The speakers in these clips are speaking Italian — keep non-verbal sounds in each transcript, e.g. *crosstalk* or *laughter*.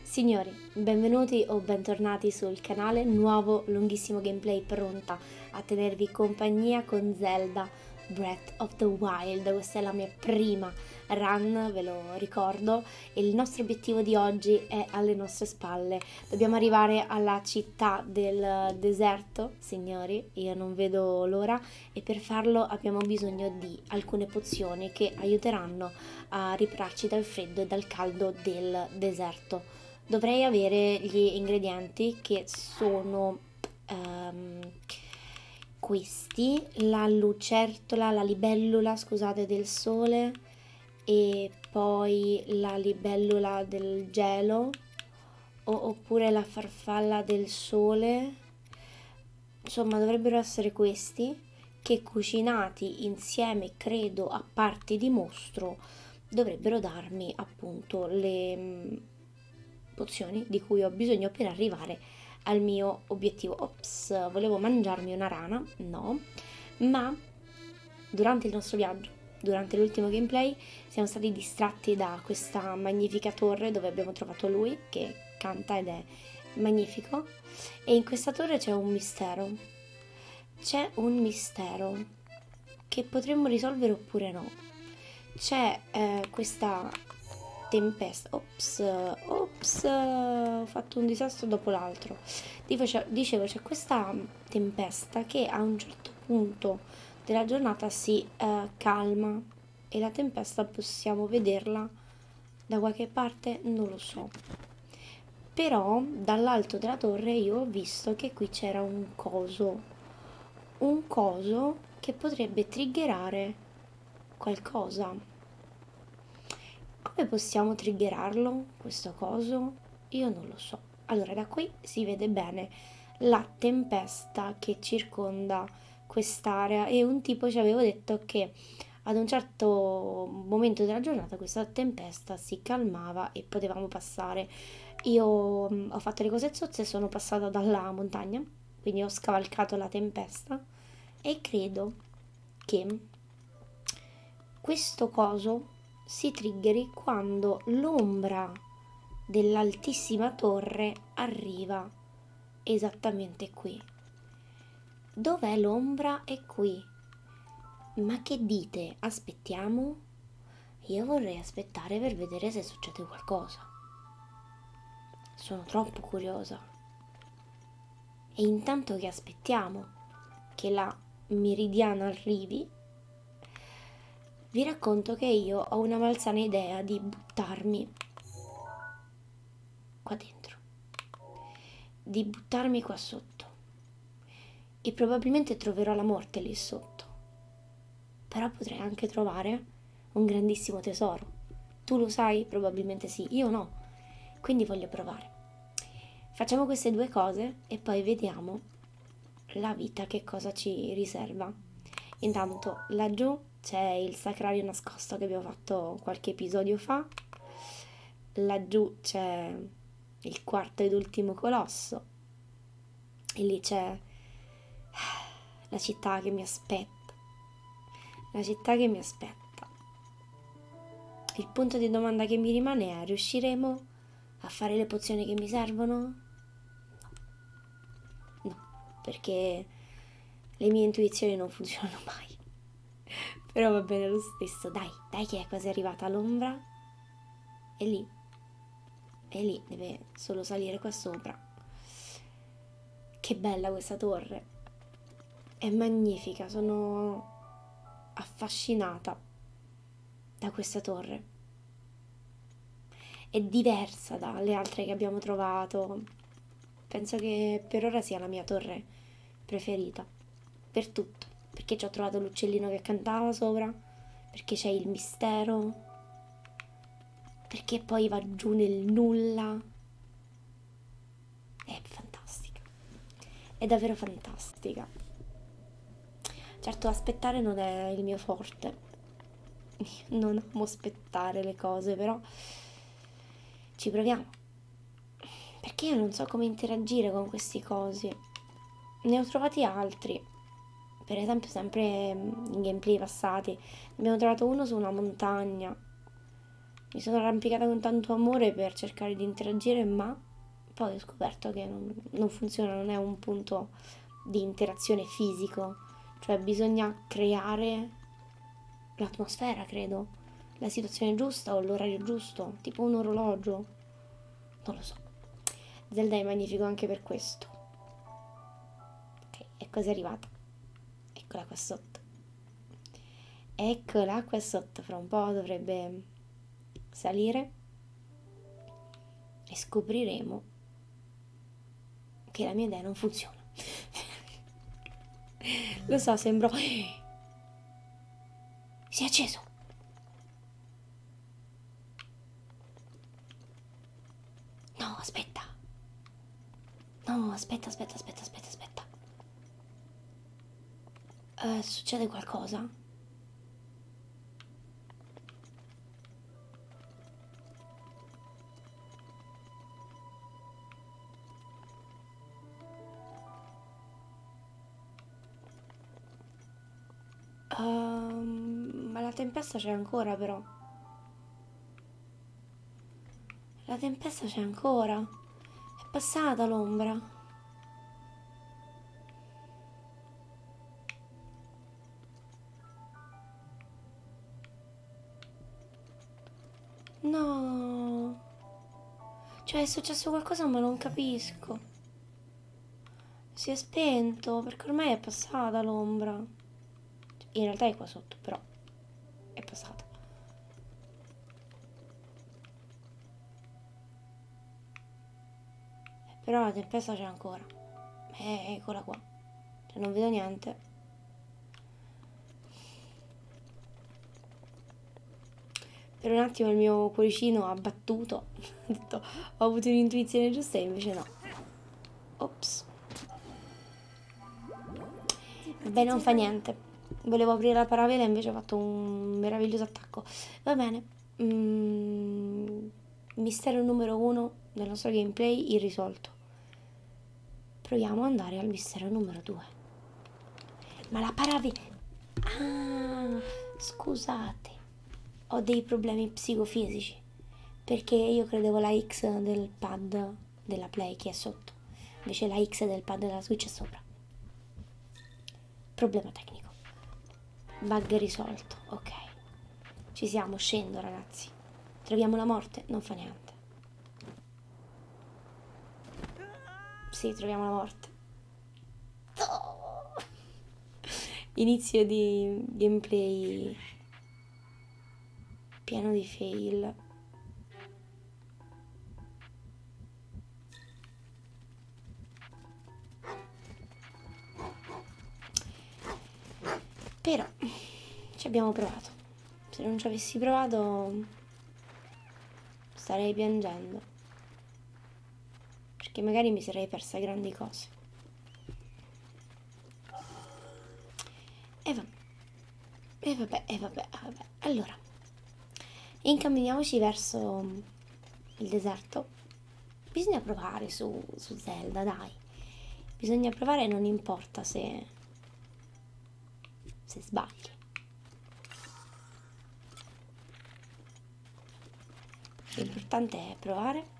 Signori, benvenuti o bentornati sul canale, nuovo lunghissimo gameplay pronta a tenervi compagnia con Zelda Breath of the Wild, questa è la mia prima run, ve lo ricordo, e il nostro obiettivo di oggi è alle nostre spalle. Dobbiamo arrivare alla città del deserto, signori, io non vedo l'ora, e per farlo abbiamo bisogno di alcune pozioni che aiuteranno aiutano a ripararci dal freddo e dal caldo del deserto. Dovrei avere gli ingredienti che sono um, questi, la lucertola, la libellula, scusate, del sole e poi la libellula del gelo oppure la farfalla del sole insomma dovrebbero essere questi che cucinati insieme credo a parti di mostro dovrebbero darmi appunto le mh, mm, pozioni di cui ho bisogno per arrivare al mio obiettivo ops volevo mangiarmi una rana no ma durante il nostro viaggio durante l'ultimo gameplay siamo stati distratti da questa magnifica torre dove abbiamo trovato lui che canta ed è magnifico e in questa torre c'è un mistero. C'è un mistero che potremmo risolvere oppure no. C'è eh, questa tempesta. Ops, ops, ho fatto un disastro dopo l'altro. Dicevo, c'è questa tempesta che a un certo punto della giornata si eh, calma e la tempesta possiamo vederla da qualche parte non lo so però dall'alto della torre io ho visto che qui c'era un coso un coso che potrebbe triggerare qualcosa come possiamo triggerarlo questo coso io non lo so allora da qui si vede bene la tempesta che circonda quest'area e un tipo ci avevo detto che ad un certo momento della giornata questa tempesta si calmava e potevamo passare. Io mh, mm, ho fatto le cose zozze e sono passata dalla montagna, quindi ho scavalcato la tempesta e credo che questo coso si triggeri quando l'ombra dell'altissima torre arriva esattamente qui. Dov'è l'ombra? È qui. Ma che dite? Aspettiamo? Io vorrei aspettare per vedere se succede qualcosa. Sono troppo curiosa. E intanto che aspettiamo che la meridiana arrivi, vi racconto che io ho una malsana idea di buttarmi qua dentro, di buttarmi qua sotto. E probabilmente troverò la morte lì sotto. Però potrei anche trovare un grandissimo tesoro. Tu lo sai? Probabilmente sì, io no. Quindi voglio provare. Facciamo queste due cose e poi vediamo la vita che cosa ci riserva. Intanto laggiù c'è il sacrario nascosto che abbiamo fatto qualche episodio fa laggiù c'è il quarto ed ultimo colosso e lì c'è *sighs* la città che mi aspetta, la città che mi aspetta. Il punto di domanda che mi rimane è riusciremo a fare le pozioni che mi servono? No, no perché le mie intuizioni non funzionano mai. *laughs* Però va bene lo stesso, dai, dai che è quasi arrivata all'ombra. E lì, e lì deve solo salire qua sopra. Che bella questa torre, è magnifica, sono affascinata da questa torre. È diversa dalle altre che abbiamo trovato. Penso che per ora sia la mia torre preferita. Per tutto. Perché ci ho trovato l'uccellino che cantava sopra. Perché c'è il mistero. Perché poi va giù nel nulla. È fantastica. È davvero fantastica. Certo, aspettare non è il mio forte. *laughs* Non amo aspettare le cose, però ci proviamo. Perché io non so come interagire con questi cosi. Ne ho trovati altri. Per esempio, sempre in gameplay passati. Ne abbiamo trovato uno su una montagna. Mi sono arrampicata con tanto amore per cercare di interagire, ma poi ho scoperto che non, non funziona, non è un punto di interazione fisico. Cioè bisogna creare l'atmosfera, credo, la situazione giusta o l'orario giusto, tipo un orologio. Non lo so. Zelda è magnifico anche per questo. Ok, è così arrivata. Eccola qua sotto. Eccola qua sotto, fra un po' dovrebbe salire e scopriremo che la mia idea non funziona. *laughs* lo so, sembro si è acceso. No, aspetta. No, aspetta, aspetta, aspetta, aspetta, aspetta. Uh, succede qualcosa? Um, ma la tempesta c'è ancora però. La tempesta c'è ancora. È passata l'ombra. No. Cioè è successo qualcosa ma non capisco. Si è spento perché ormai è passata l'ombra. In realtà è qua sotto però è passata. Eh, però la tempesta c'è ancora. Eh, eccola qua. Cioè non vedo niente. Per un attimo il mio cuoricino ha battuto, *laughs* ho, detto, ho avuto un'intuizione giusta e invece no. Ops. Beh, non fa niente. Volevo aprire la paravela e invece ho fatto un meraviglioso attacco. Va bene. Mm, mistero numero uno del nostro gameplay irrisolto. Proviamo ad andare al mistero numero due. Ma la parave... Ah, scusate. Ho dei problemi psicofisici. Perché io credevo la X del pad della Play che è sotto. Invece la X del pad della Switch è sopra. Problema tecnico. Bug risolto. Ok. Ci siamo, scendo ragazzi. Troviamo la morte? Non fa niente. Sì, troviamo la morte. Oh! Inizio di gameplay pieno di fail. Però ci abbiamo provato. Se non ci avessi provato starei piangendo, perché magari mi sarei persa grandi cose. E vabbè, e vabbè, e vabbè, e vabbè. Allora, incamminiamoci verso mm, il deserto. Bisogna provare su, su Zelda, dai. Bisogna provare, non importa se se sbagli. L'importante è provare.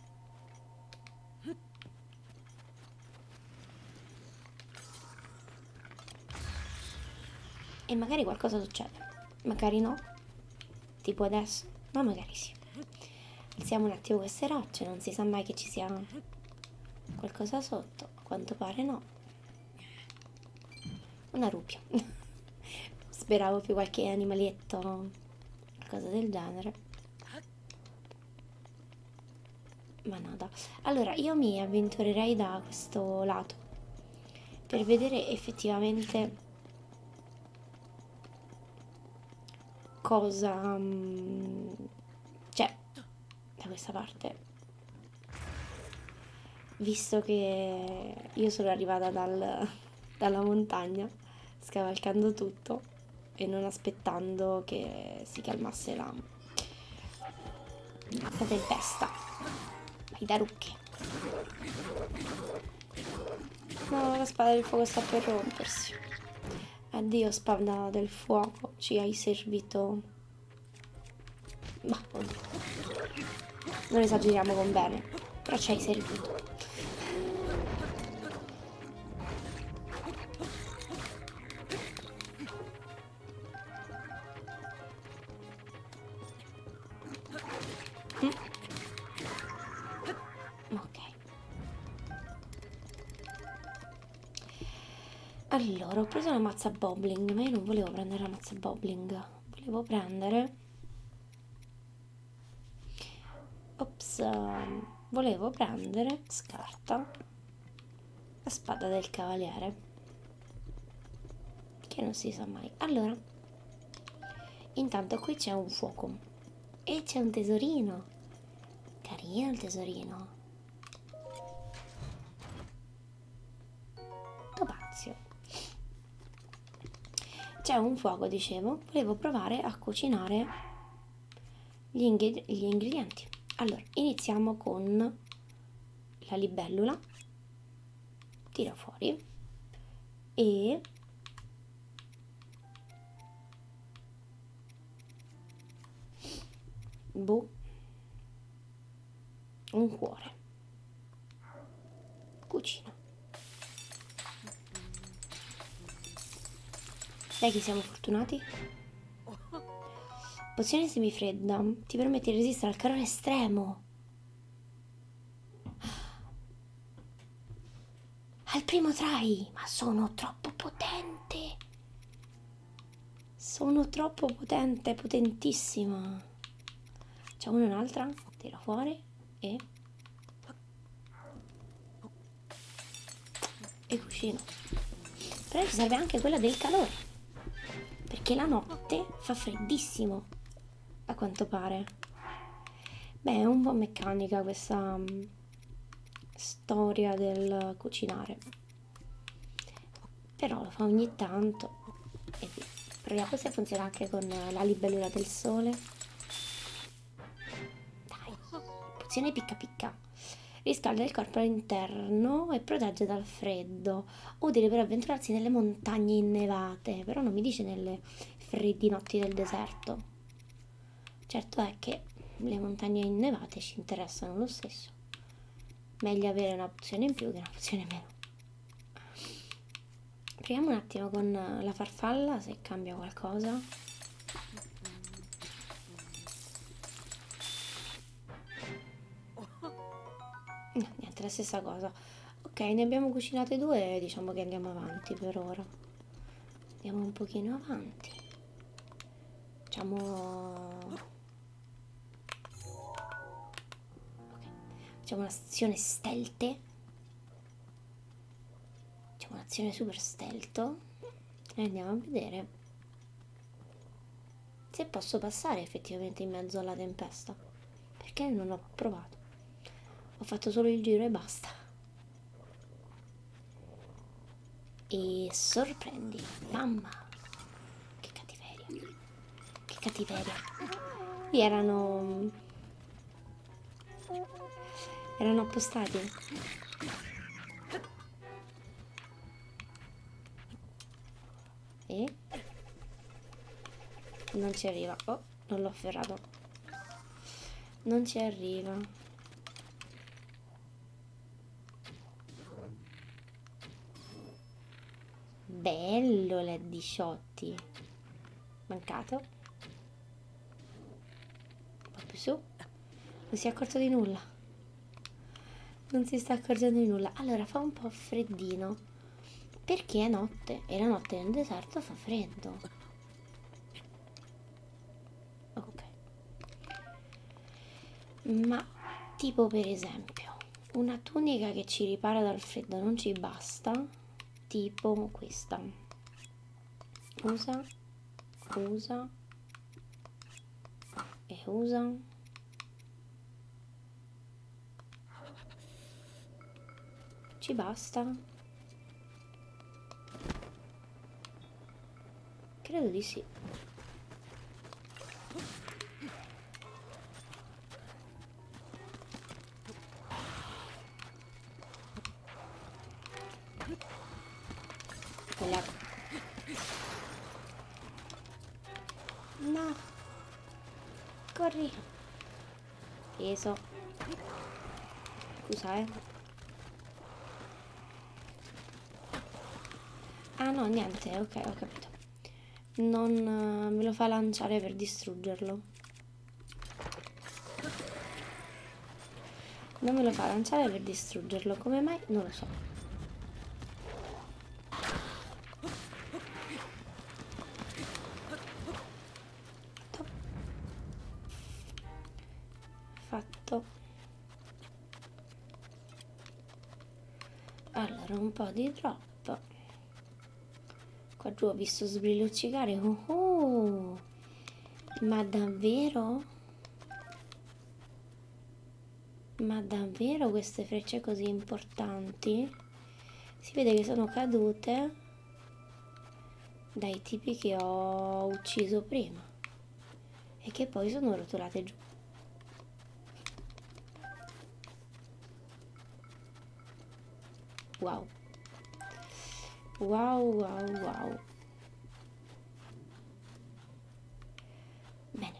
E magari qualcosa succede. Magari no. Tipo adesso. Ma no, magari sì. Alziamo un attimo queste rocce. Non si sa mai che ci sia qualcosa sotto. A quanto pare no. Una rupia. *laughs* Speravo più qualche animalietto, qualcosa del genere. Ma nada. Allora, io mi avventurerei da questo lato per vedere effettivamente cosa... Mm, cioè, da questa parte visto che io sono arrivata dal, dalla montagna scavalcando tutto e non aspettando che si calmasse la la tempesta vai da rucche no la spada del fuoco sta per rompersi addio spada del fuoco ci hai servito ma non esageriamo con bene, però ci hai servito. Mm. Ok allora ho preso la mazza bobling ma io non volevo prendere la mazza bobling volevo prendere ops volevo prendere scarta la spada del cavaliere che non si sa mai allora intanto qui c'è un fuoco e c'è un tesorino carino il tesorino Topazio. C'è un fuoco, dicevo, volevo provare a cucinare gli, ingre gli ingredienti. Allora, iniziamo con la libellula, tiro fuori e boh un cuore cucina sai che siamo fortunati? pozione semifredda ti permette di resistere al calore estremo al primo try ma sono troppo potente sono troppo potente, potentissima. C'è una e un'altra. Tira fuori e... E cucino. Però ci serve anche quella del calore. Perché la notte fa freddissimo. A quanto pare. Beh, è un po' meccanica questa mm, storia del cucinare però lo fa ogni tanto e proviamo se funziona anche con la libellula del sole dai pozione picca picca riscalda il corpo all'interno e protegge dal freddo utile per avventurarsi nelle montagne innevate però non mi dice nelle freddi notti del deserto certo è che le montagne innevate ci interessano lo stesso meglio avere un'opzione in più che un'opzione in meno proviamo un attimo con la farfalla se cambia qualcosa no, niente la stessa cosa ok ne abbiamo cucinate due e diciamo che andiamo avanti per ora andiamo un pochino avanti facciamo Ok, facciamo un'azione stelte. Facciamo un'azione super stelto e andiamo a vedere se posso passare effettivamente in mezzo alla tempesta. Perché non ho provato? Ho fatto solo il giro e basta. E sorprendi, mamma, che cattiveria. Che cattiveria. Qui erano... Erano appostati. E? Non ci arriva. Oh, non l'ho afferrato. Non ci arriva. Bello l'Eddy Shotti. Mancato. Un po' più su. Non si è accorto di nulla. Non si sta accorgendo di nulla. Allora fa un po' freddino. Perché è notte. E la notte nel deserto fa freddo. Ok. Ma tipo per esempio una tunica che ci ripara dal freddo non ci basta tipo questa usa usa e usa ci basta credo di sì No. Corri. Peso. Scusa, eh. Ah no, niente, ok, ho capito non eh, me lo fa lanciare per distruggerlo non me lo fa lanciare per distruggerlo come mai? non lo so fatto fatto allora un po' di drop qua giù ho visto sbrilluccicare oh, oh. ma davvero ma davvero queste frecce così importanti si vede che sono cadute dai tipi che ho ucciso prima e che poi sono rotolate giù Wow. Wow, wow, wow. Bene.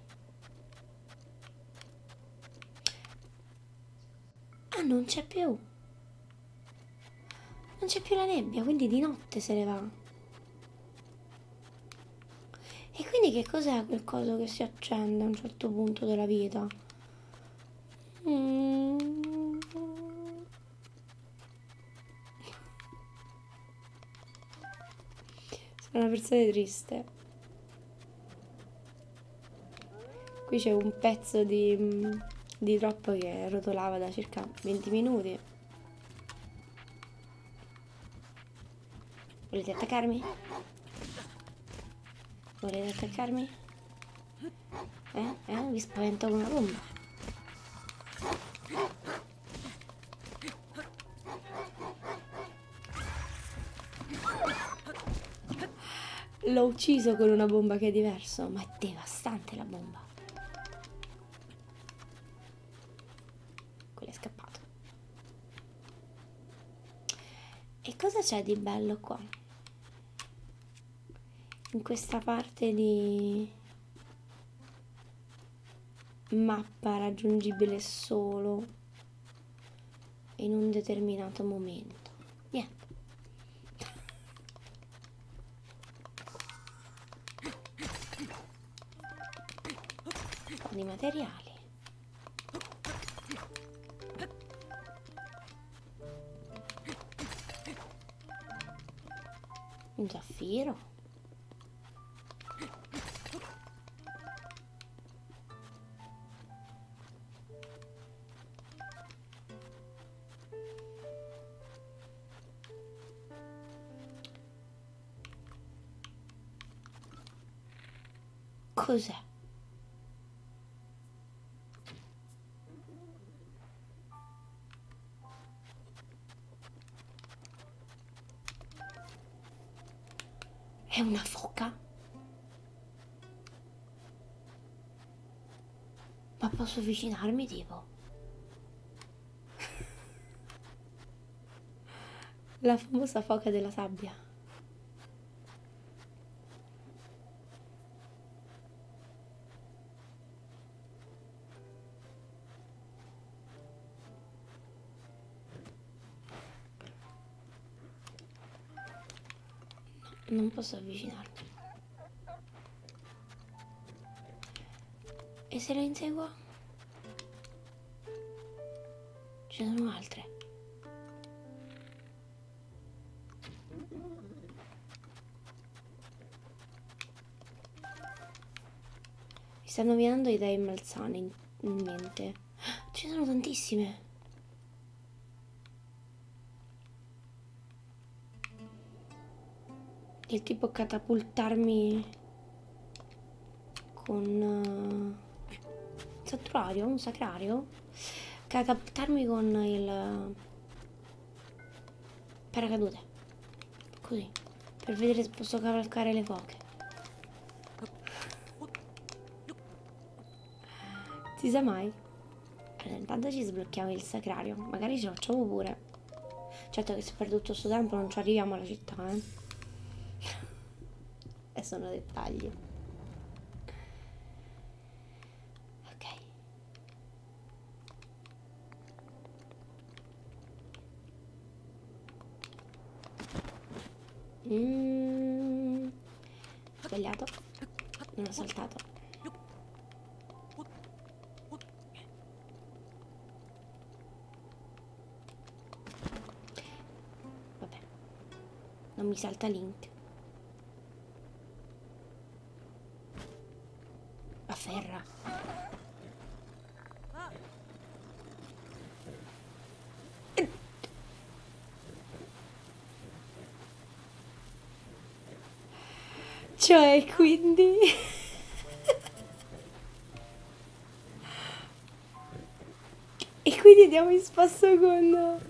Ah, non c'è più. Non c'è più la nebbia, quindi di notte se ne va. E quindi che cos'è quel coso che si accende a un certo punto della vita? Mm. Sono una persona triste. Qui c'è un pezzo di, di troppo che rotolava da circa 20 minuti. Volete attaccarmi? Volete attaccarmi? Eh? Eh? Vi spavento con una bomba. L'ho ucciso con una bomba che è diverso, ma è devastante la bomba quello è scappato e cosa c'è di bello qua in questa parte di mappa raggiungibile solo in un determinato momento niente di materiali un zaffiro. Cos'è? È una foca? Ma posso avvicinarmi tipo? la famosa foca della sabbia no, non posso avvicinarmi e se lo inseguo ci sono altre. Mi stanno venendo idee malsane in mente. *gasps* Ce ne sono tantissime. Del tipo catapultarmi con uh, eh, saturario, un sacrario catapultarmi con il paracadute così per vedere se posso cavalcare le foche si sa mai allora intanto ci sblocchiamo il sacrario magari ce lo facciamo pure certo che se per tutto questo tempo non ci arriviamo alla città eh e sono dettagli ok mm. sbagliato non ho saltato Vabbè, non mi salta Link. A ferra. Cioè, quindi... E quindi andiamo in spasso con...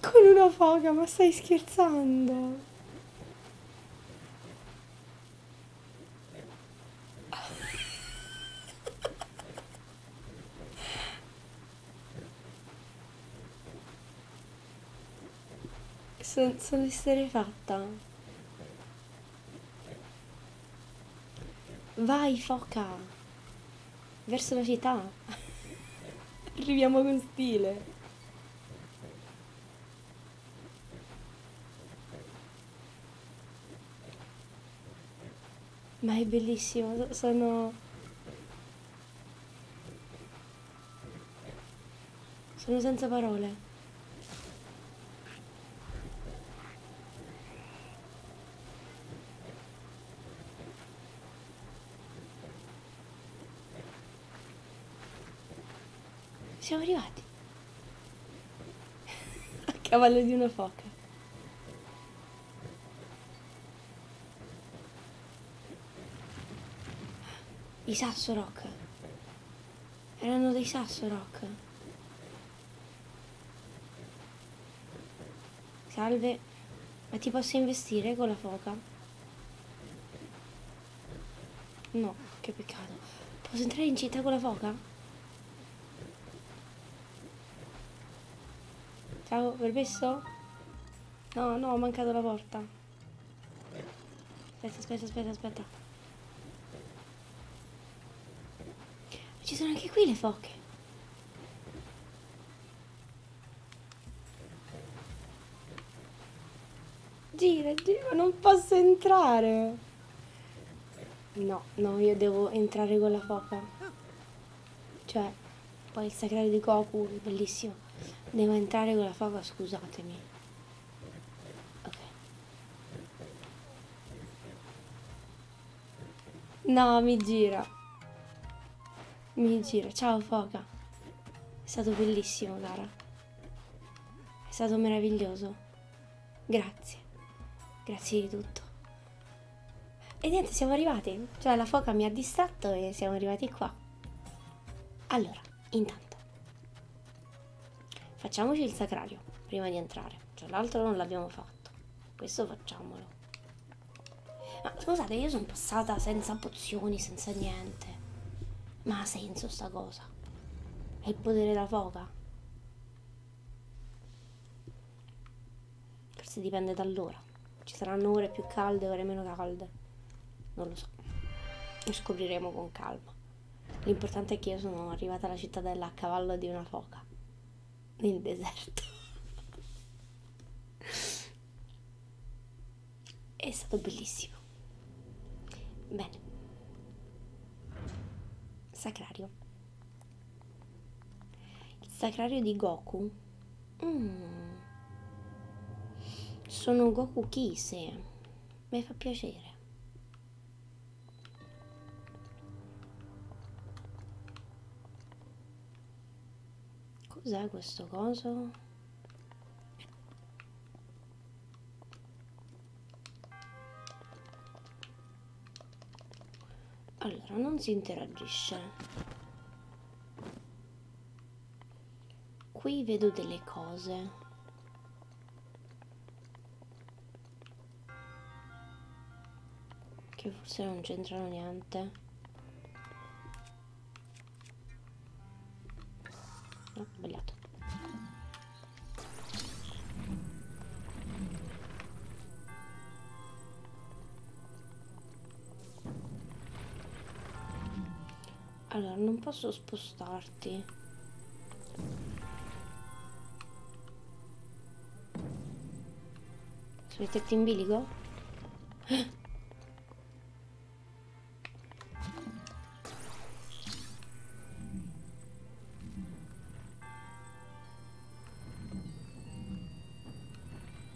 Con una foga, ma stai scherzando? *laughs* Sono, sono fatta. Vai, foca! Verso la città! Arriviamo con stile! Ma è bellissimo, sono... Sono senza parole. Siamo arrivati. *laughs* A cavallo di una foca. I sasso rock. Erano dei sasso rock. Salve, ma ti posso investire con la foca? No, che peccato. Posso entrare in città con la foca? Ciao, permesso? No, no, ho mancato la porta. Aspetta, aspetta, aspetta, aspetta. Ci sono anche qui le foche. Gira, gira, non posso entrare. No, no, io devo entrare con la foca. Cioè, poi il sacrario di Goku, è bellissimo. Devo entrare con la foca, scusatemi. Ok. No, mi gira. Mi gira. Ciao, Foca. È stato bellissimo, cara. È stato meraviglioso. Grazie. Grazie di tutto. E niente, siamo arrivati. Cioè, la foca mi ha distratto e siamo arrivati qua. Allora, intanto. Facciamoci il sacrario prima di entrare. Cioè, l'altro non l'abbiamo fatto fatto questo facciamolo ma scusate io sono passata senza pozioni senza niente ma ha senso sta cosa è il potere della foca forse dipende dall'ora ci saranno ore più calde ore meno calde non lo so lo scopriremo con calma l'importante è che io sono arrivata alla cittadella a cavallo di una foca nel deserto è stato bellissimo bene sacrario il sacrario di Goku mm. sono Goku Kise mi fa piacere Cos'è questo coso? Allora, non si interagisce. Qui vedo delle cose. Che forse non c'entrano niente. No, ah, ho sbagliato. Allora, non posso spostarti. Sono i tetti in bilico?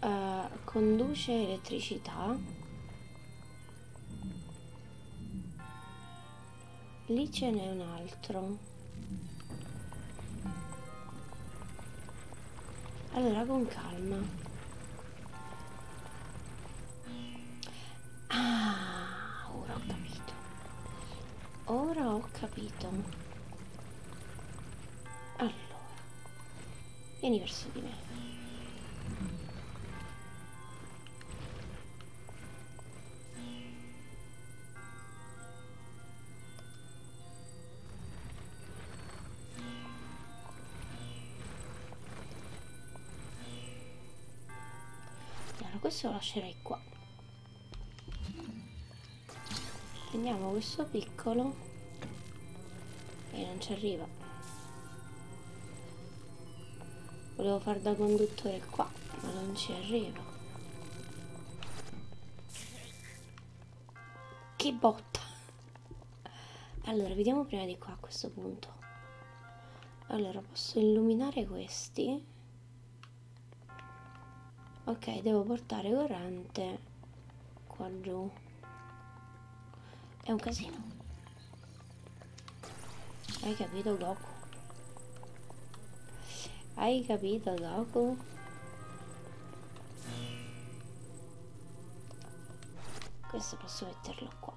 Uh, conduce elettricità lì ce n'è un altro allora con calma ah ora ho capito ora ho capito allora vieni verso di me allora, questo lo lascerei qua. Prendiamo questo piccolo e non ci arriva. Volevo far da conduttore qua ma non ci arrivo che botta allora vediamo prima di qua a questo punto allora posso illuminare questi ok devo portare corrente qua giù è un casino hai capito Goku hai capito, Goku? Questo posso metterlo qua.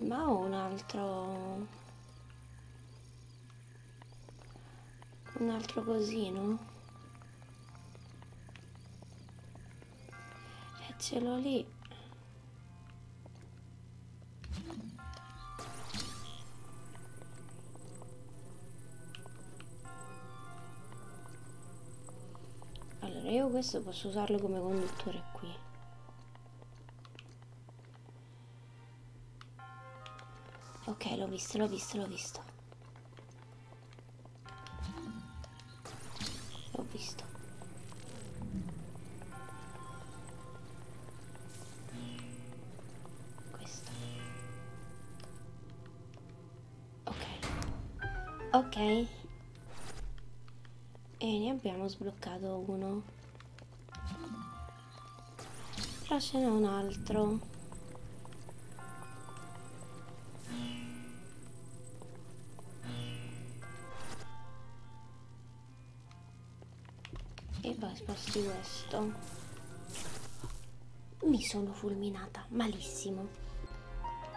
Ma ho un altro... Un altro cosino? E ce l'ho lì. Allora, io questo posso usarlo come conduttore qui. Ok, l'ho visto, l'ho visto, l'ho visto. L'ho visto. Questa. Ok. Ok. E ne abbiamo sbloccato uno. Però ce n'è un altro e poi sposti questo mi sono fulminata malissimo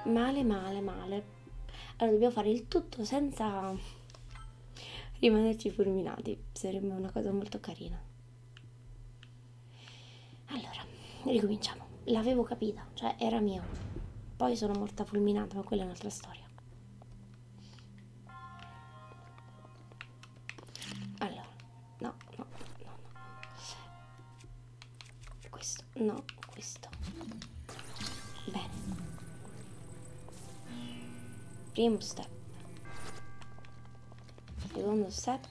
male male male allora dobbiamo fare il tutto senza rimanerci fulminati sarebbe una cosa molto carina allora ricominciamo l'avevo capita cioè era mio poi sono morta fulminata ma quella è un'altra storia allora no no no no questo no questo bene primo step secondo step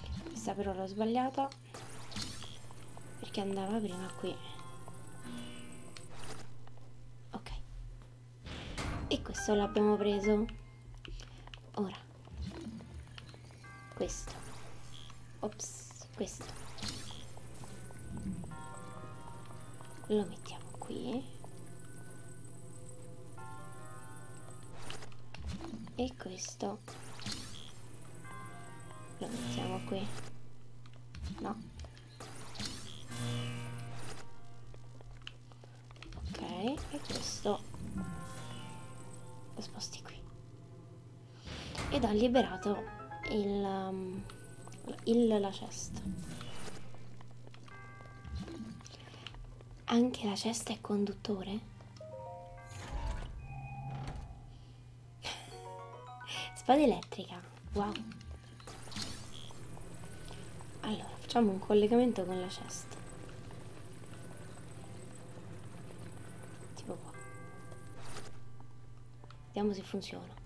qui questa però l'ho sbagliata perché andava prima qui ok e questo l'abbiamo preso ora questo ops questo lo mettiamo qui e questo lo mettiamo qui no ok e questo lo sposti qui ed ho liberato il, um, il la cesta anche la cesta è conduttore? Spada elettrica, wow. Allora, facciamo un collegamento con la cesta. Tipo qua. Vediamo se funziona.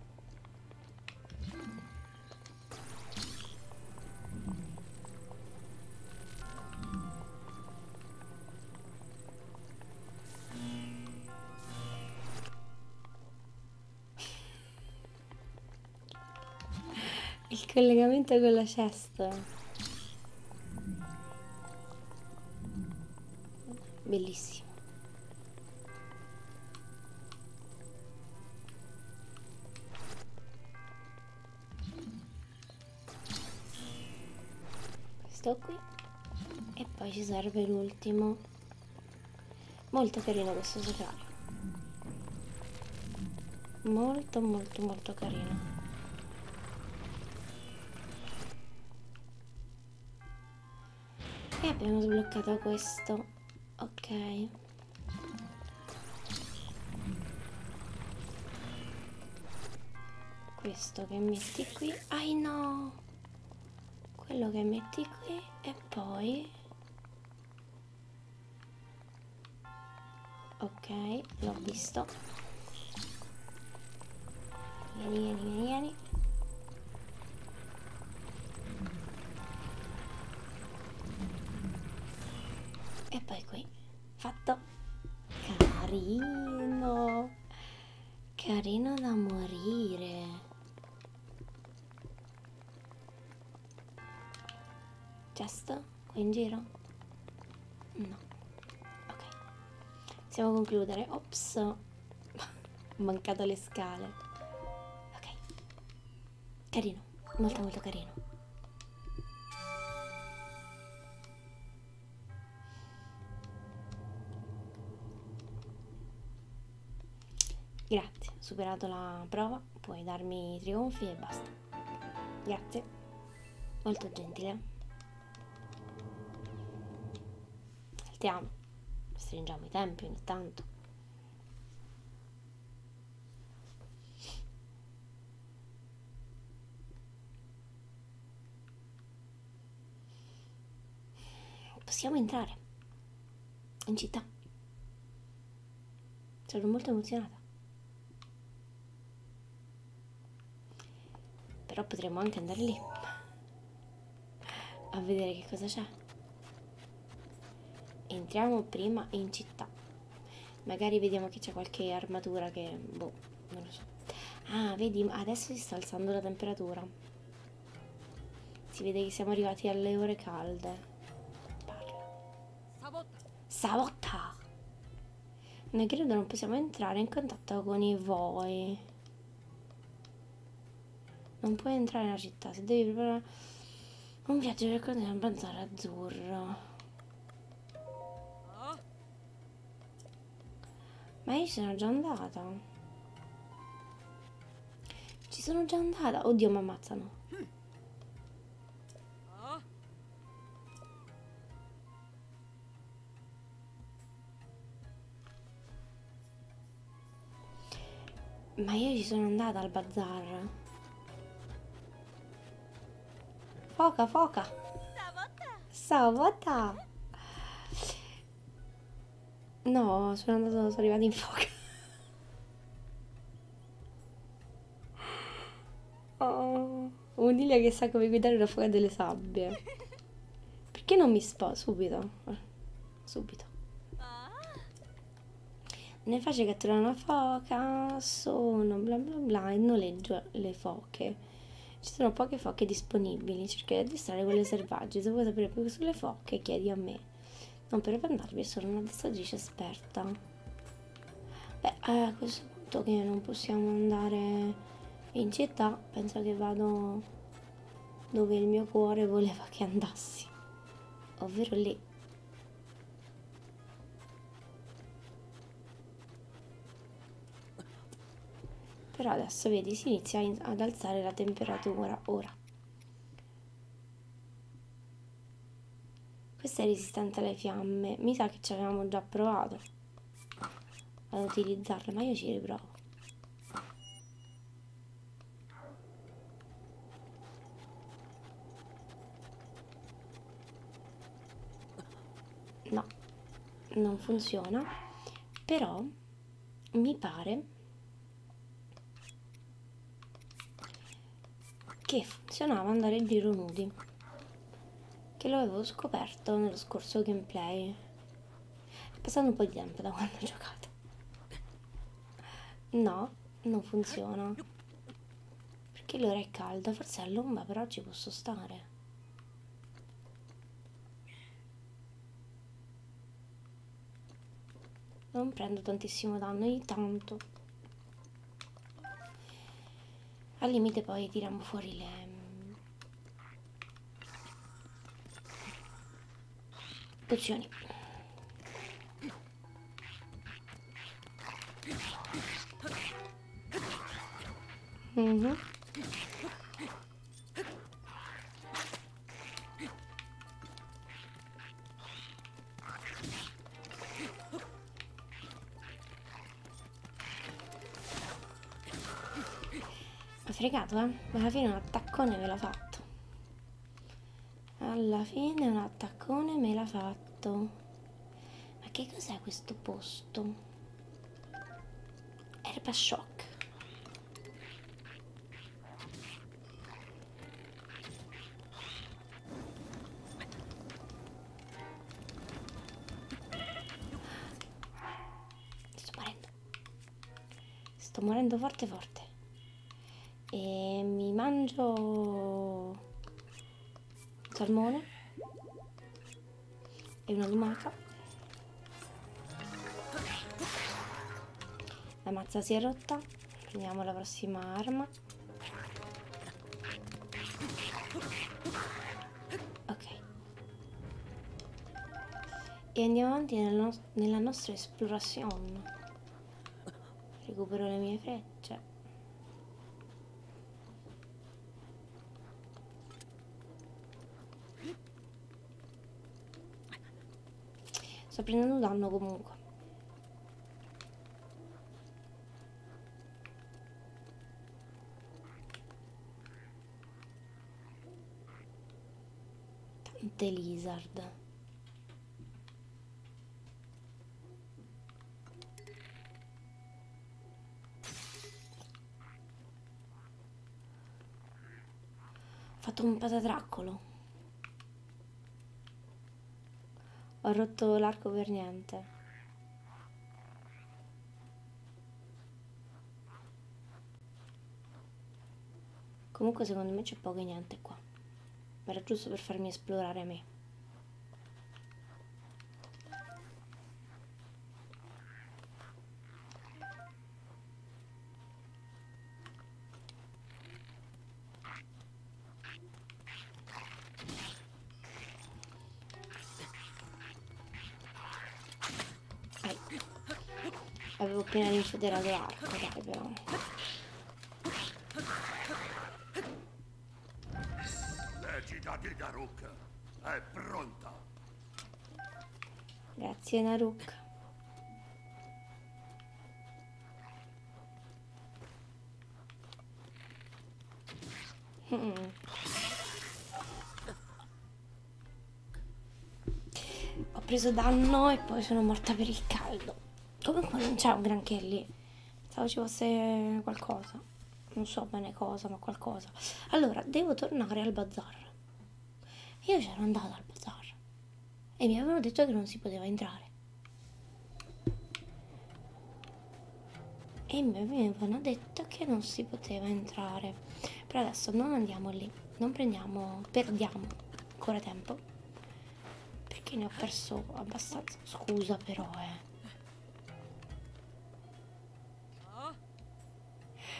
Il collegamento con la cesta. Bellissimo. Questo qui. E poi ci serve l'ultimo. Molto carino questo sacrario. Molto molto molto carino. E abbiamo sbloccato questo. Ok questo che metti qui ai no quello che metti qui e poi ok l'ho visto vieni vieni vieni vieni e poi qui fatto carino carino da morire Gesto qui in giro? No, ok. Possiamo concludere. Ops, *laughs* ho mancato le scale. Ok, Carino, molto molto carino. Grazie, superato la prova, puoi darmi i trionfi e basta. Grazie, molto gentile. Saltiamo, stringiamo i tempi ogni tanto. Possiamo entrare in città. Sono molto emozionata. Però potremmo anche andare lì a vedere che cosa c'è. Entriamo prima in città. Magari vediamo che c'è qualche armatura che... Boh, non lo so. Ah, vedi, adesso si sta alzando la temperatura. Si vede che siamo arrivati alle ore calde. Parla. Savotta! Noi credo non possiamo entrare in contatto con i voi. Non puoi entrare nella città, se devi preparare... Un viaggio per continuare a avanzare azzurro. Ma io sono già andata. Ci sono già andata. Oddio, mi ammazzano. Ma io ci sono andata al bazar. Foca, foca. Savota. No, sono andato, sono arrivata in foca. *laughs* Oh, un'iglia che sa come guidare la foca delle sabbie. Perché non mi sposto subito? Subito. Nel facile catturare una foca sono bla bla bla e noleggio le foche. Ci sono poche foche disponibili, cercherò di addestrare quelle selvagge. Se vuoi sapere più sulle foche chiedi a me. Non per vantarmi, sono un'addestratrice esperta. Beh, a questo punto che non possiamo andare in città, penso che vado dove il mio cuore voleva che andassi. Ovvero lì, però adesso vedi si inizia ad alzare la temperatura ora. Questa è resistente alle fiamme, mi sa che ci avevamo già provato ad utilizzarla, ma io ci riprovo. No, non funziona, però mi pare che funzionava andare in giro nudi, che lo avevo scoperto nello scorso gameplay. È passato un po' di tempo da quando ho giocato. No, non funziona perché l'ora è calda forse all'ombra però ci posso stare non prendo tantissimo danno ogni tanto al limite poi tiriamo fuori le pozioni Mhm. Ho fregato, eh? Ma alla fine un attaccone ve l'ha fatto alla fine un attaccone me l'ha fatto ma che cos'è questo posto erba shock sto morendo sto morendo forte forte e mi mangio salmone e una lumaca la mazza si è rotta prendiamo la prossima arma ok e andiamo avanti nella, no nella nostra esplorazione recupero le mie frecce sto prendendo danno comunque tante lizard ho fatto un patatraccolo. Ho rotto l'arco per niente. Comunque secondo me c'è poco e niente qua ma era giusto per farmi esplorare me. Ai. Avevo appena rinfoderato l'arco, dai però. Legida di Daruk è pronta. Grazie Naruk. Mm. Ho preso danno e poi sono morta per il caldo comunque non c'è un granché lì pensavo ci fosse qualcosa non so bene cosa ma qualcosa allora devo tornare al bazar io c'ero andata al bazar e mi avevano detto che non si poteva entrare e mi avevano detto che non si poteva entrare però adesso non andiamo lì non prendiamo perdiamo ancora tempo perché ne ho perso abbastanza scusa però eh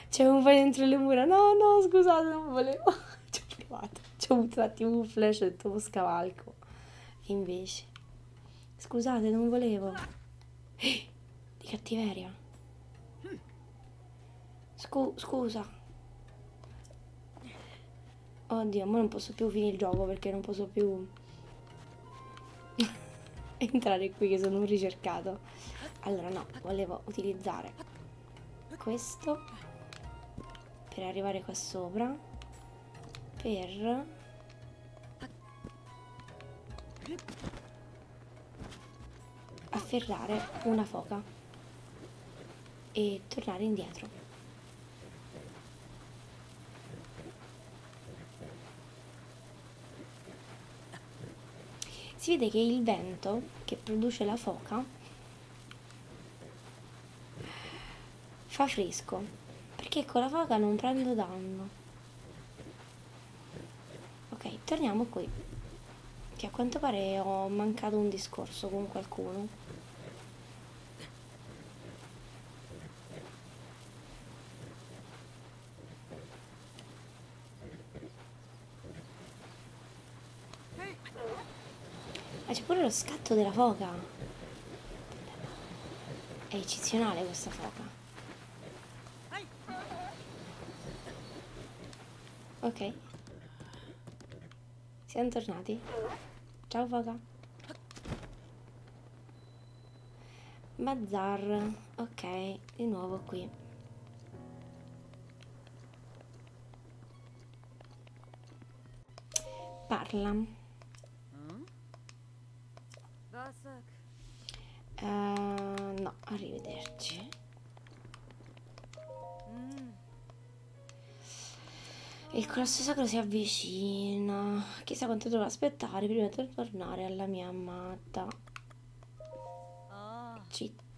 c'è un po' dentro le mura no no scusate non volevo *laughs* ci ho provato ci ho buttato un flash e ho detto oh, scavalco e invece scusate non volevo eh, *gasps* di cattiveria Scu scusa Oddio, ma non posso più finire il gioco perché non posso più *laughs* entrare qui che sono un ricercato. Allora no, volevo utilizzare questo per arrivare qua sopra, per... afferrare una foca e tornare indietro si vede che il vento che produce la foca fa fresco perché con la foca non prendo danno ok torniamo qui che a quanto pare ho mancato un discorso con qualcuno Ah, c'è pure lo scatto della foca. È eccezionale questa foca. Ok. Siamo tornati. Ciao Vaga. Bazar. Ok, di nuovo qui. Parla. Uh, no, arrivederci. Il colosso sacro si avvicina. Chissà quanto dovrò aspettare prima di tornare alla mia amata città.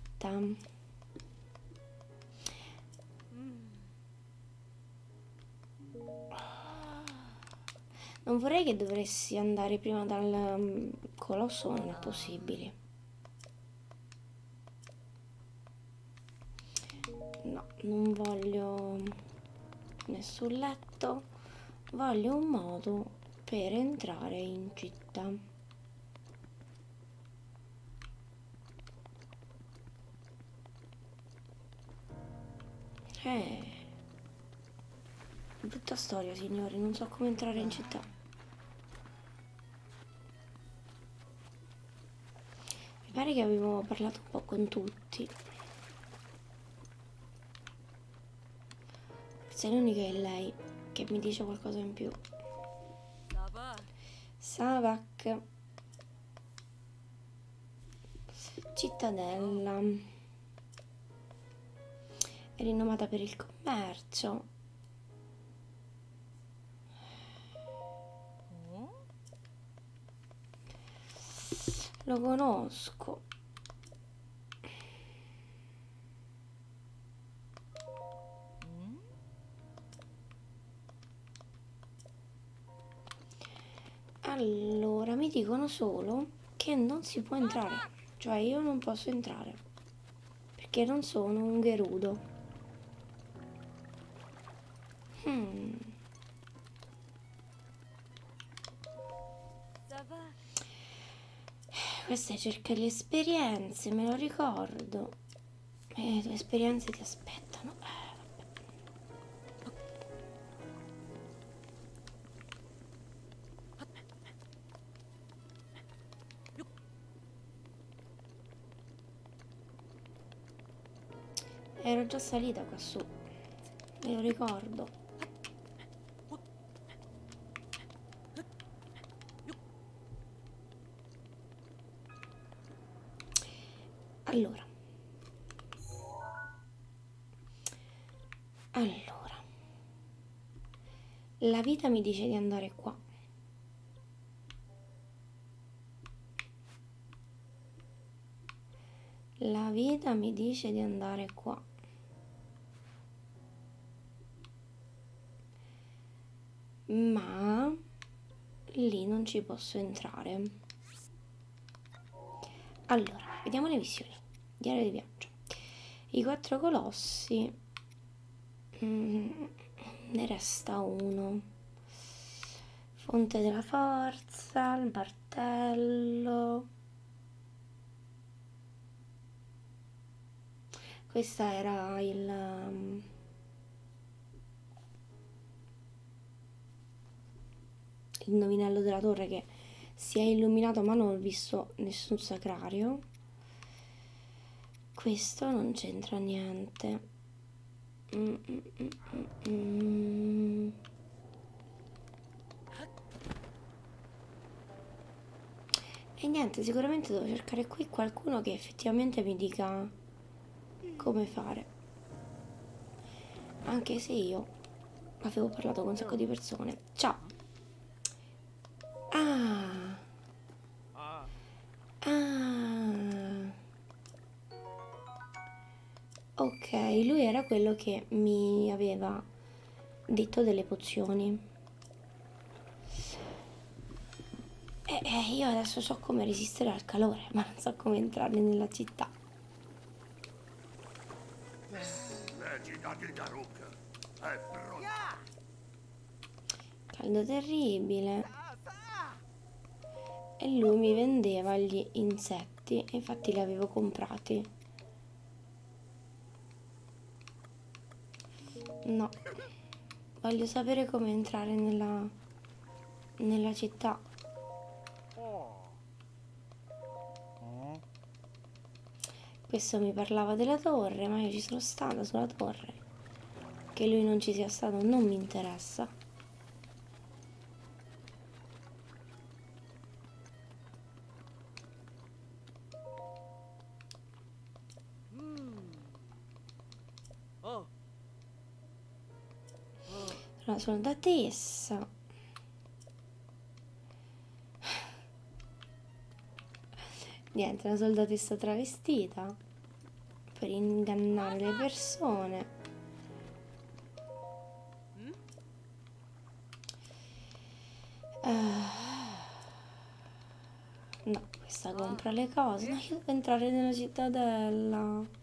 Non vorrei che dovessi andare prima dal mm, colosso, ma non è possibile no non voglio nessun letto voglio un modo per entrare in città eh brutta storia signori non so come entrare in città mi pare che avevo parlato un po' con tutti. Forse l'unica è lei che mi dice qualcosa in più. Savak. Cittadella. È rinomata per il commercio. Mm. Lo conosco. Mm. Allora, mi dicono solo che non si può entrare. Cioè, io non posso entrare. Perché non sono un gerudo. Hmm. Questa è cerca le esperienze, me lo ricordo. E eh, le tue esperienze ti aspettano. Eh, Ero già salita qua su, me lo ricordo. Allora. Allora. La vita mi dice di andare qua. La vita mi dice di andare qua. Ma lì non ci posso entrare. Allora, vediamo le missioni. Diario di viaggio. I quattro colossi. Mm, ne resta uno fonte della forza, il martello. Questa era il... Um, il nominello della torre che si è illuminato ma non ho visto nessun sacrario questo non c'entra niente Mm, mm, mm, e niente, sicuramente devo cercare qui qualcuno che effettivamente mi dica come fare. Anche se io avevo parlato con un sacco di persone. Ciao! Ah! Ah! Ok, lui era quello che mi aveva detto delle pozioni. E, eh, e eh, io adesso so come resistere al calore, ma non so come entrare nella città. Caldo terribile e lui mi vendeva gli insetti e infatti li avevo comprati no voglio sapere come entrare nella nella città questo mi parlava della torre ma io ci sono stata sulla torre che lui non ci sia stato non mi interessa allora, sono da Tessa. Niente, una soldatessa travestita per ingannare le persone. Uh, no, questa compra le cose. No, io devo entrare nella cittadella.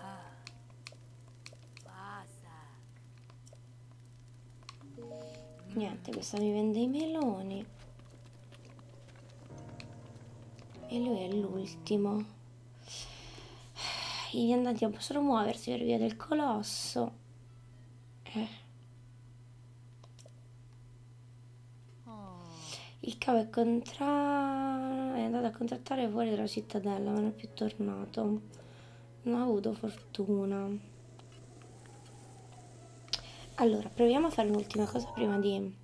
Ah, niente questa mi vende i meloni e lui è l'ultimo i viandanti non possono muoversi per via del colosso eh. il cavo è, contra... è andato a contrattare fuori dalla cittadella ma non è più tornato non ho avuto fortuna allora proviamo a fare un'ultima cosa prima di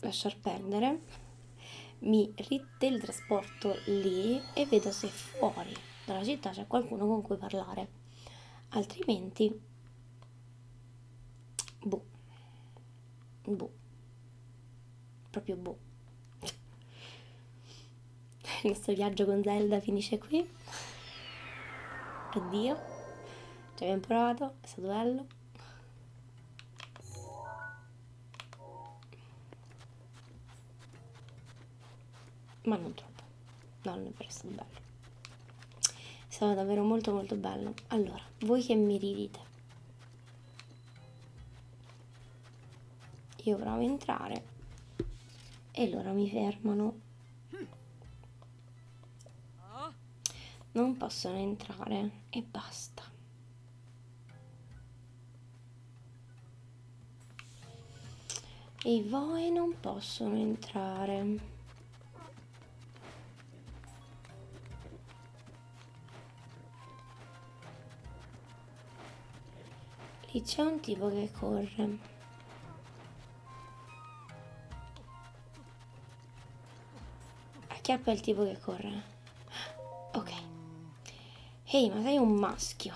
lasciar perdere mi riteltrasporto lì e vedo se fuori dalla città c'è qualcuno con cui parlare altrimenti boh boh proprio boh. Il nostro viaggio con Zelda finisce qui. Addio. Ci abbiamo provato, è stato bello. Ma non troppo. No, non è vero, è stato bello. È stato davvero molto molto bello. Allora, voi che mi ridite? Io provo a entrare e loro mi fermano. Non possono entrare e basta. E voi non possono entrare. Lì c'è un tipo che corre. Acchiappa il tipo che corre. *gasps* Ok. Ehi, hey, ma sei un maschio.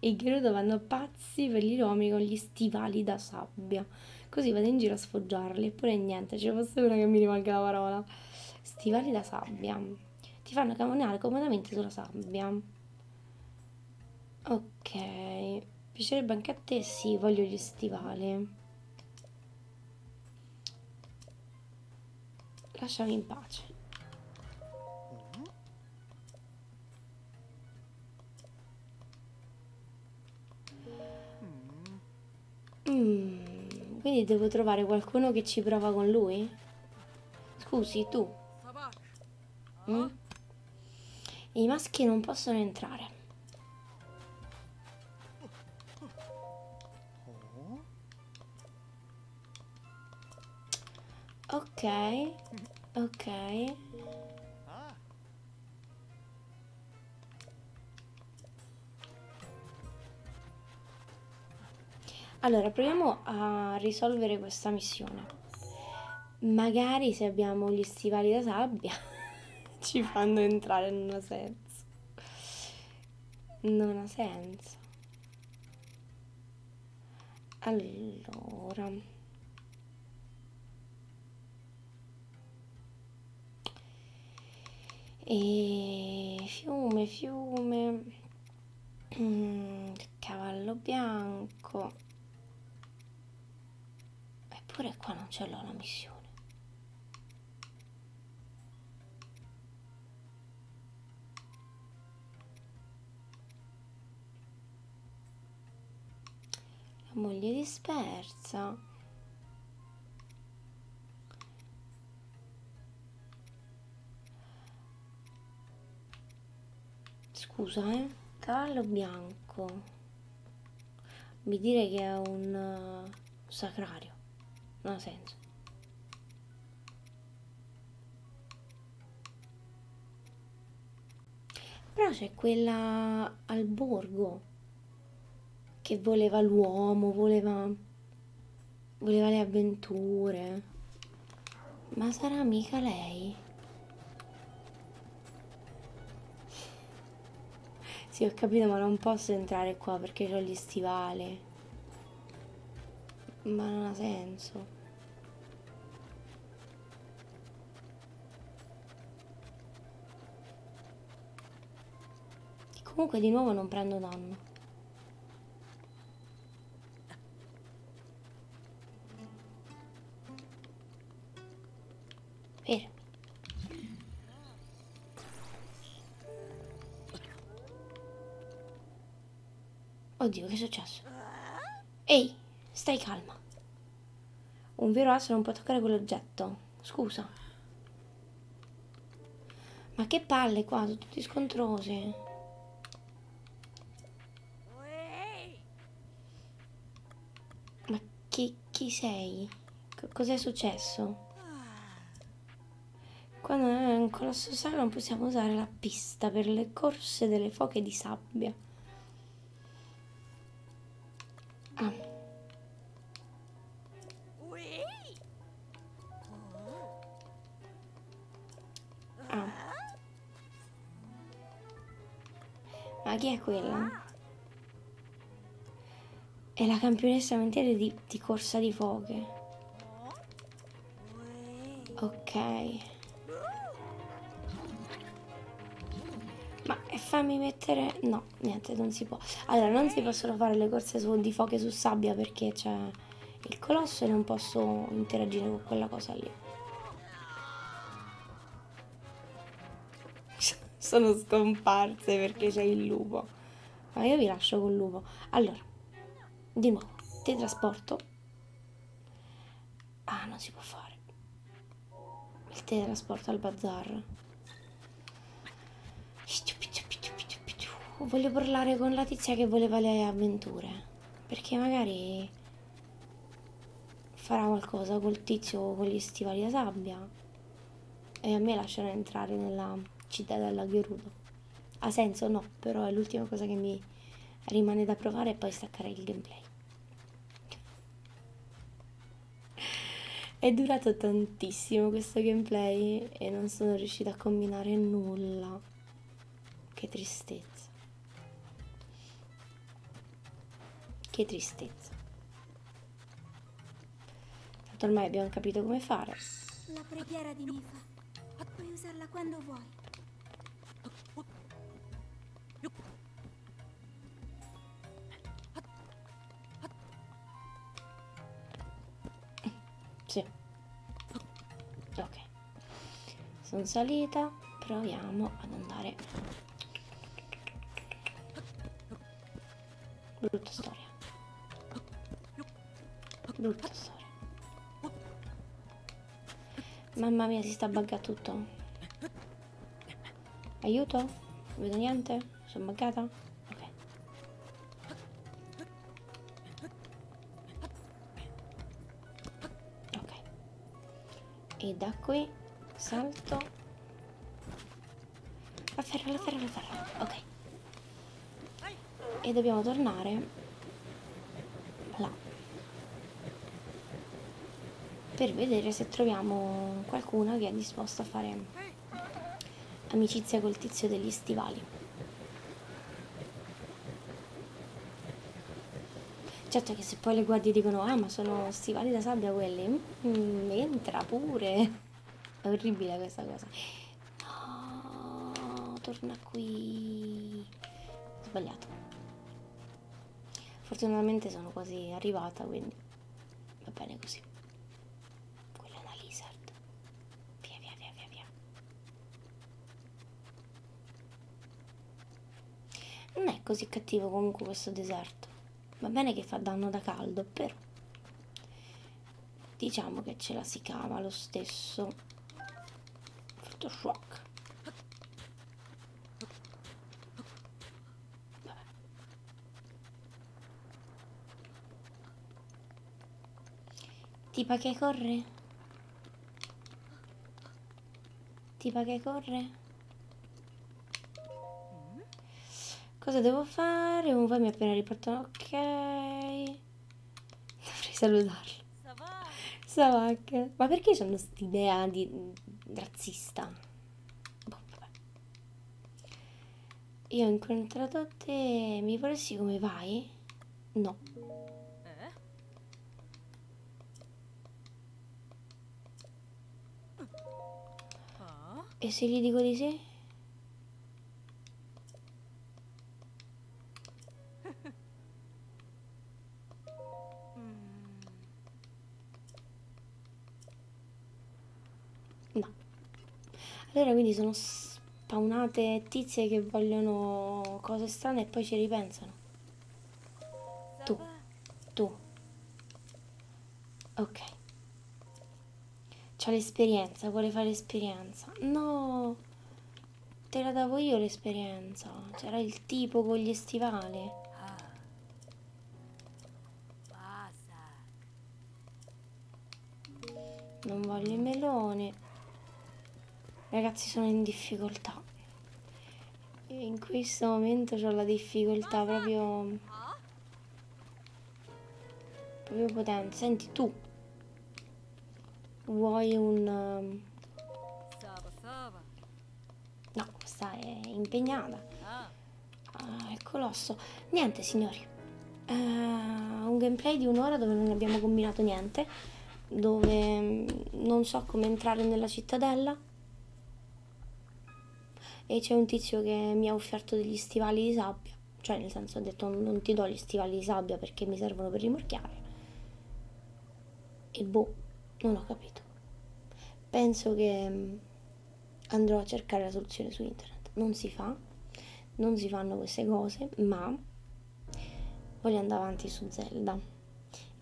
I Gerudo vanno pazzi per gli uomini con gli stivali da sabbia. Così vado in giro a sfoggiarli. Eppure niente, ci fosse una che mi rimanga la parola. Stivali da sabbia ti fanno camminare comodamente sulla sabbia ok piacerebbe anche a te sì voglio gli stivali lasciami in pace Mm, quindi devo trovare qualcuno che ci prova con lui? Scusi, tu. Mm? I maschi non possono entrare. Ok, ok. Allora, proviamo a risolvere questa missione. Magari se abbiamo gli stivali da sabbia *laughs* ci fanno entrare, non ha senso. Non ha senso. Allora. E fiume, fiume. Mm, il cavallo bianco eppure qua non ce l'ho la missione la moglie dispersa scusa eh cavallo bianco mi dire che è un uh, sacrario non ha senso però c'è quella al borgo che voleva l'uomo voleva voleva le avventure ma sarà mica lei sì ho capito ma non posso entrare qua perché ho gli stivali ma non ha senso comunque di nuovo non prendo danno Fermi. Oddio, che è successo? Ehi, stai calma. Un vero asso non può toccare quell'oggetto. Scusa. Ma che palle qua, sono tutti scontrosi. Ma chi, chi sei? Cos'è successo? Quando è un collasso sacro non possiamo usare la pista per le corse delle foche di sabbia. Ah. Ah. Ma chi è quella? È la campionessa mentale di, di corsa di foche. Ok. Ma fammi mettere... No, niente, non si può. Allora, non si possono fare le corse su, di foche su sabbia perché c'è il colosso e non posso interagire con quella cosa lì. *laughs* Sono scomparse perché c'è il lupo. Ma io vi lascio col lupo. Allora, di nuovo, ti trasporto. Ah, non si può fare. Il teletrasporto al bazar. Voglio parlare con la tizia che voleva le avventure. Perché magari farà qualcosa col tizio con gli stivali da sabbia. E a me lascerà entrare nella cittadella Gerudo. Ha senso? No, però è l'ultima cosa che mi rimane da provare e poi staccare il gameplay. È durato tantissimo questo gameplay e non sono riuscita a combinare nulla no che tristezza che tristezza tanto ormai abbiamo capito come fare la preghiera di Nifa puoi usarla quando vuoi sì ok sono salita proviamo ad andare brutta storia brutta storia mamma mia si sta buggando tutto aiuto non vedo niente sono buggata ok ok e da qui salto la ferra la ferra la ferra ok e dobbiamo tornare là per vedere se troviamo qualcuno che è disposto a fare Amicizia col tizio degli stivali. Certo che se poi le guardie dicono ah ma sono stivali da sabbia quelli, mm, entra pure. È orribile questa cosa. No, torna qui. Sbagliato. Fortunatamente sono quasi arrivata, quindi va bene così. Quella è una lizard. Via, via, via, via, via. Non è così cattivo comunque questo deserto. Va bene che fa danno da caldo, però diciamo che ce la si cava lo stesso. Photoshop. Vabbè. Tipa che corre? Tipa che corre? Cosa devo fare? Un vai mi appena riportano. Ok. *laughs* Dovrei salutarlo. Savak. Ma perché c'hanno quest'idea di razzista? Boh, vabbè. Io ho incontrato te. Mi vorresti come vai? No. E se gli dico di sì? *laughs* No. Allora quindi sono spawnate tizie che vogliono cose strane e poi ci ripensano. Tu, tu. Ok. C'ha l'esperienza, vuole fare esperienza. No! Te la davo io l'esperienza. C'era il tipo con gli stivali. Ah non voglio i meloni ragazzi sono in difficoltà in questo momento ho la difficoltà proprio proprio potente senti tu vuoi un um, no questa è impegnata ah, è colosso ecco niente signori eh, un gameplay di un'ora dove non abbiamo combinato niente, dove mm, non so come entrare nella cittadella e c'è un tizio che mi ha offerto degli stivali di sabbia, cioè nel senso ho detto non ti do gli stivali di sabbia perché mi servono per rimorchiare e boh, non ho capito. Penso che mm, andrò a cercare la soluzione su internet, non si fa, non si fanno queste cose, ma voglio andare avanti su Zelda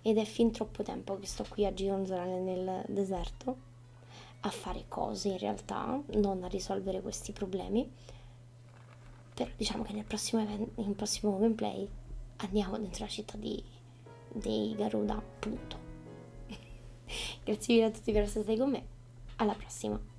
ed è fin troppo tempo che sto qui a gironzolare nel deserto a fare cose in realtà, non a risolvere questi problemi. Però diciamo che nel prossimo, event nel prossimo gameplay andiamo dentro la città di, di Garuda, punto. *laughs* Grazie mille a tutti per essere stati con me, alla prossima!